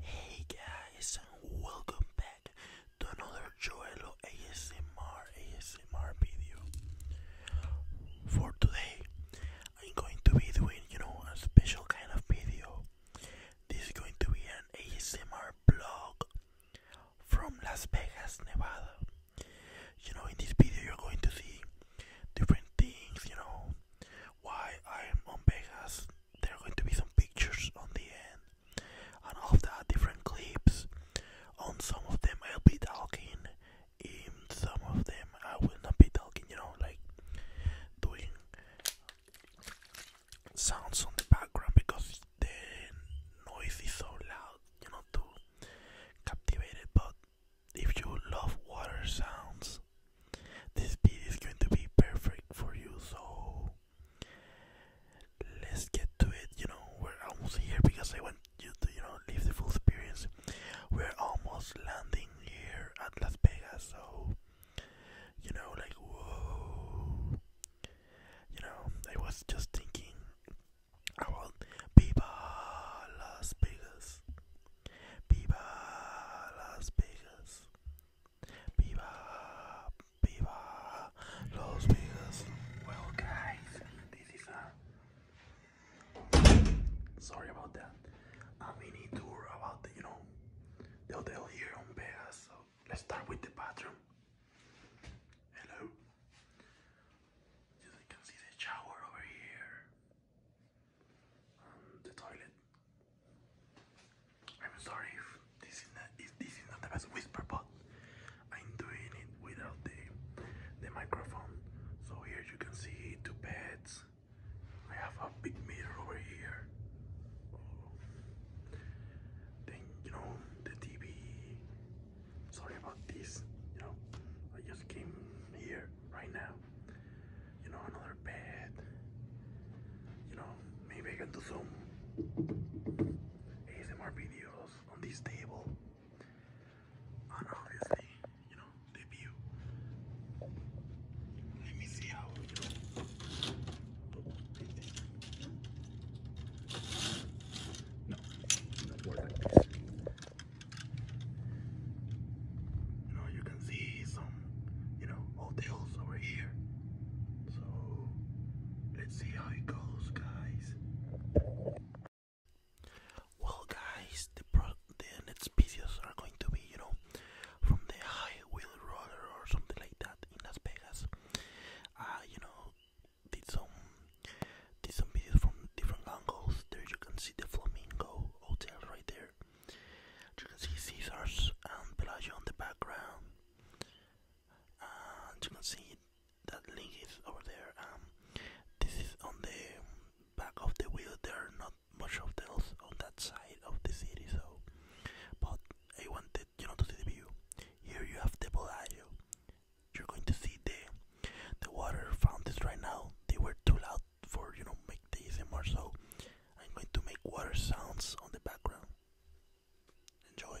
Hey guys, welcome back to another Joello ASMR ASMR video. For today, I'm going to be doing, you know, a special kind of video. This is going to be an ASMR blog from Las Vegas, Nevada. You know, in this video, you're going to see different things, you know, why I'm on Vegas there are going to be some pictures on the end, and of that, different clips. On some of them, I'll be talking, in some of them, I will not be talking, you know, like doing sounds on the background because the noise is so loud, you know, to captivate it. But if you love water sounds, this beat is going to be perfect for you, so let's get to it. You know, we're almost here because I want you to, you know, live the full experience. We're almost landing here at Las Vegas, so you know, like, whoa, you know, I was just thinking I want people Las Vegas. Well, guys, this is a. Sorry about that. A mini tour about you know, the hotel here on Vegas. So let's start with the bathroom. Hello. you can see the shower over here. Um, the toilet. I'm sorry if this is not the best whisper, but I'm doing it without the the microphone. So here you can see two beds. I have a big mirror over here. Then you know the TV. Sorry about this. You know, I just came here right now you know, another bed. You know, maybe I some ASMR videos on this table. And obviously, you know, the Let me see how, you know, you can see some, you know, hotels over here. So, let's see how it goes, guys. Well, guys, the, the next videos are going to be, you know, from the high wheel roller or something like that in Las Vegas. Ah, you know, did some did some videos from different angles. There you can see the flamingo hotel right there. You can see Caesars and um, Pelagio in the background, and you can see that link is over there. Um, this is on the back of the wheel. There are not much of else on that side of the city, so. But I wanted you know to see the view. Here you have the Pelagio. You're going to see the the water fountains right now. They were too loud for you know make and more. So I'm going to make water sounds on the background. Enjoy.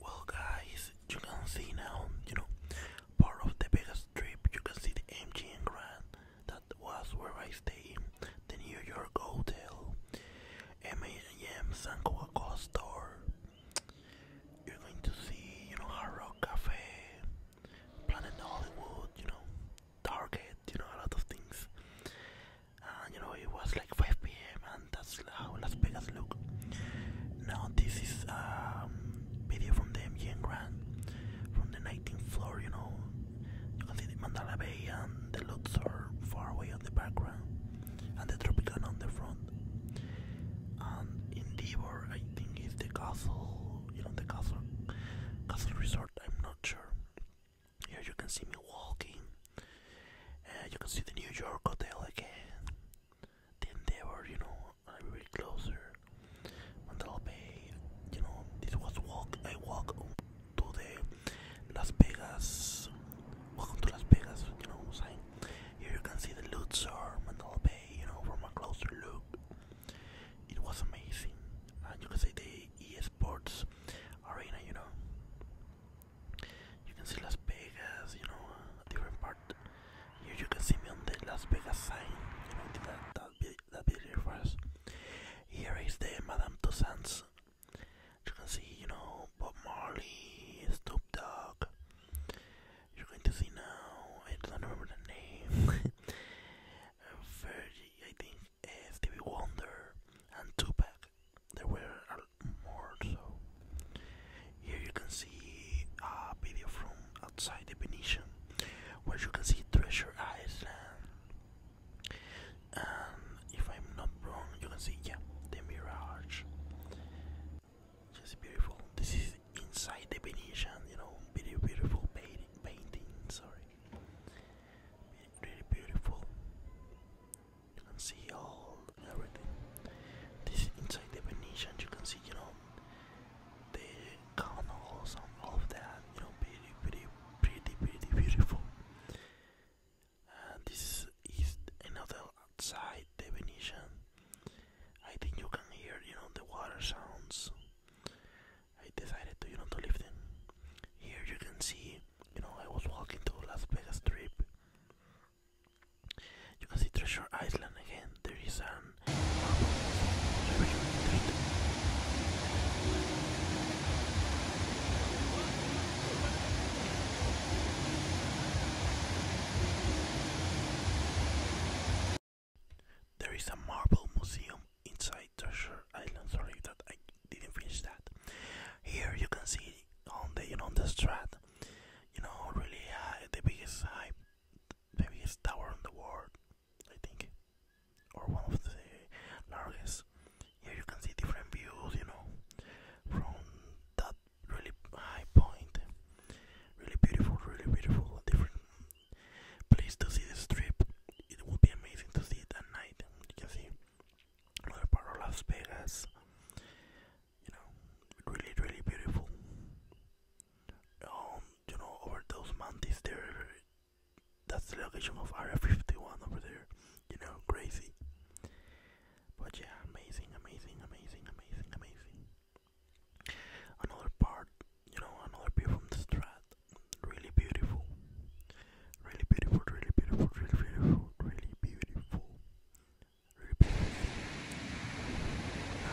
Well guys, you can see now, you know, part of the Vegas trip, you can see the MGM Grand, that was where I stayed, the New York Hotel, m San coca store. You're going to see, you know, Hard Cafe, Planet Hollywood, you know, Target, you know, a lot of things. And you know, it was like 5 p.m. and that's how Las Vegas look. Now this is a um, video from the MGM Grand, from the 19th floor, you know. You can see the Mandalay Bay and the Luxor far away on the background and the Tropicana on the front. And in Endeavor, I think, is the castle, you know, the castle, castle resort. I'm not sure. Here you can see me walking. Uh, you can see the New York Hotel again. The Endeavor, you know, a bit closer. Mandela Bay, you know, this was walk. I walk to the Las Vegas. Welcome to Las Vegas, you know what Here you can see the Luxor, Mandela Bay, you know, from a closer look. It was amazing. And you can see the EA Arena, you know. You can see Las Vegas, you know, different part. Here you can see me on the Las Vegas sign, you know, that, that, that video first. Here is the Madame Tussauds you can see, you know, Bob Marley, Snoop Dogg. You're going to see now, I don't remember the name. Fergie, I think, uh, Stevie Wonder, and Tupac. There were more, so. Here you can see a video from outside the Venetian, where you can see Treasure Island and um, if I'm not wrong you can see yeah the mirage just beautiful this is inside the Venetian you know very beautiful painting painting sorry really beautiful you can see all everything this is inside the Venetian you can see you know the canals and all of them. you know pretty pretty pretty pretty beautiful this is another outside the I think you can hear, you know, the water sounds. I decided to, you know, to leave them. Here you can see, you know, I was walking to Las Vegas Strip. You can see Treasure Island again. There is an there is a marble museum inside Treasure Island. Sorry that I didn't finish that. Here you can see on the you know on the strat, you know really high, uh, the biggest high, the biggest tower in the world, I think, or one of the largest. Here you can see different views, you know, from that really high point. Really beautiful, really beautiful, different place to see the strip. It would be amazing to see it at night. You can see another part of Las Vegas. You know, really, really beautiful. Um, you know, over those mountains there, that's the location of Area 51 over there. You know, crazy. But yeah, amazing, amazing, amazing, amazing, amazing. Another part, you know, another view from the strat. Really beautiful. Really beautiful, really beautiful, really beautiful, really beautiful. Really beautiful. Now,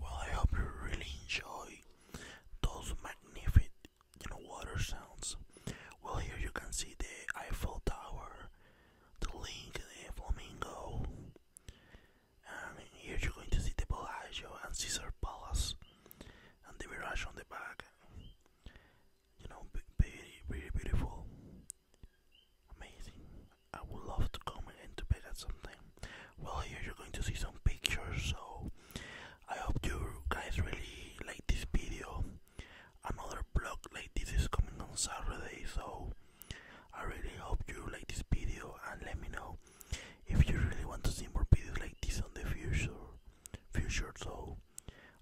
Well, I hope you really enjoy those magnificent, you know, water sounds. Well, here you can see the Eiffel Tower the link the flamingo and here you're going to see the Bellagio and Caesar Palace and the mirage on the back you know very very beautiful amazing I would love to come and to bed at some well here you're going to see some pictures so I hope you guys really like this video another blog like this is coming on Saturday so I really hope you like this video and let me know if you really want to see more videos like this on the future future so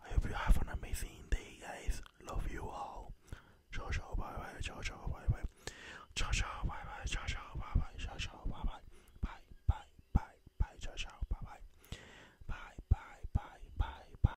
I hope you have an amazing day guys love you all ciao ciao bye bye ciao ciao bye bye ciao ciao bye bye ciao ciao bye bye ciao ciao bye bye bye bye bye bye ciao ciao bye bye bye bye bye bye bye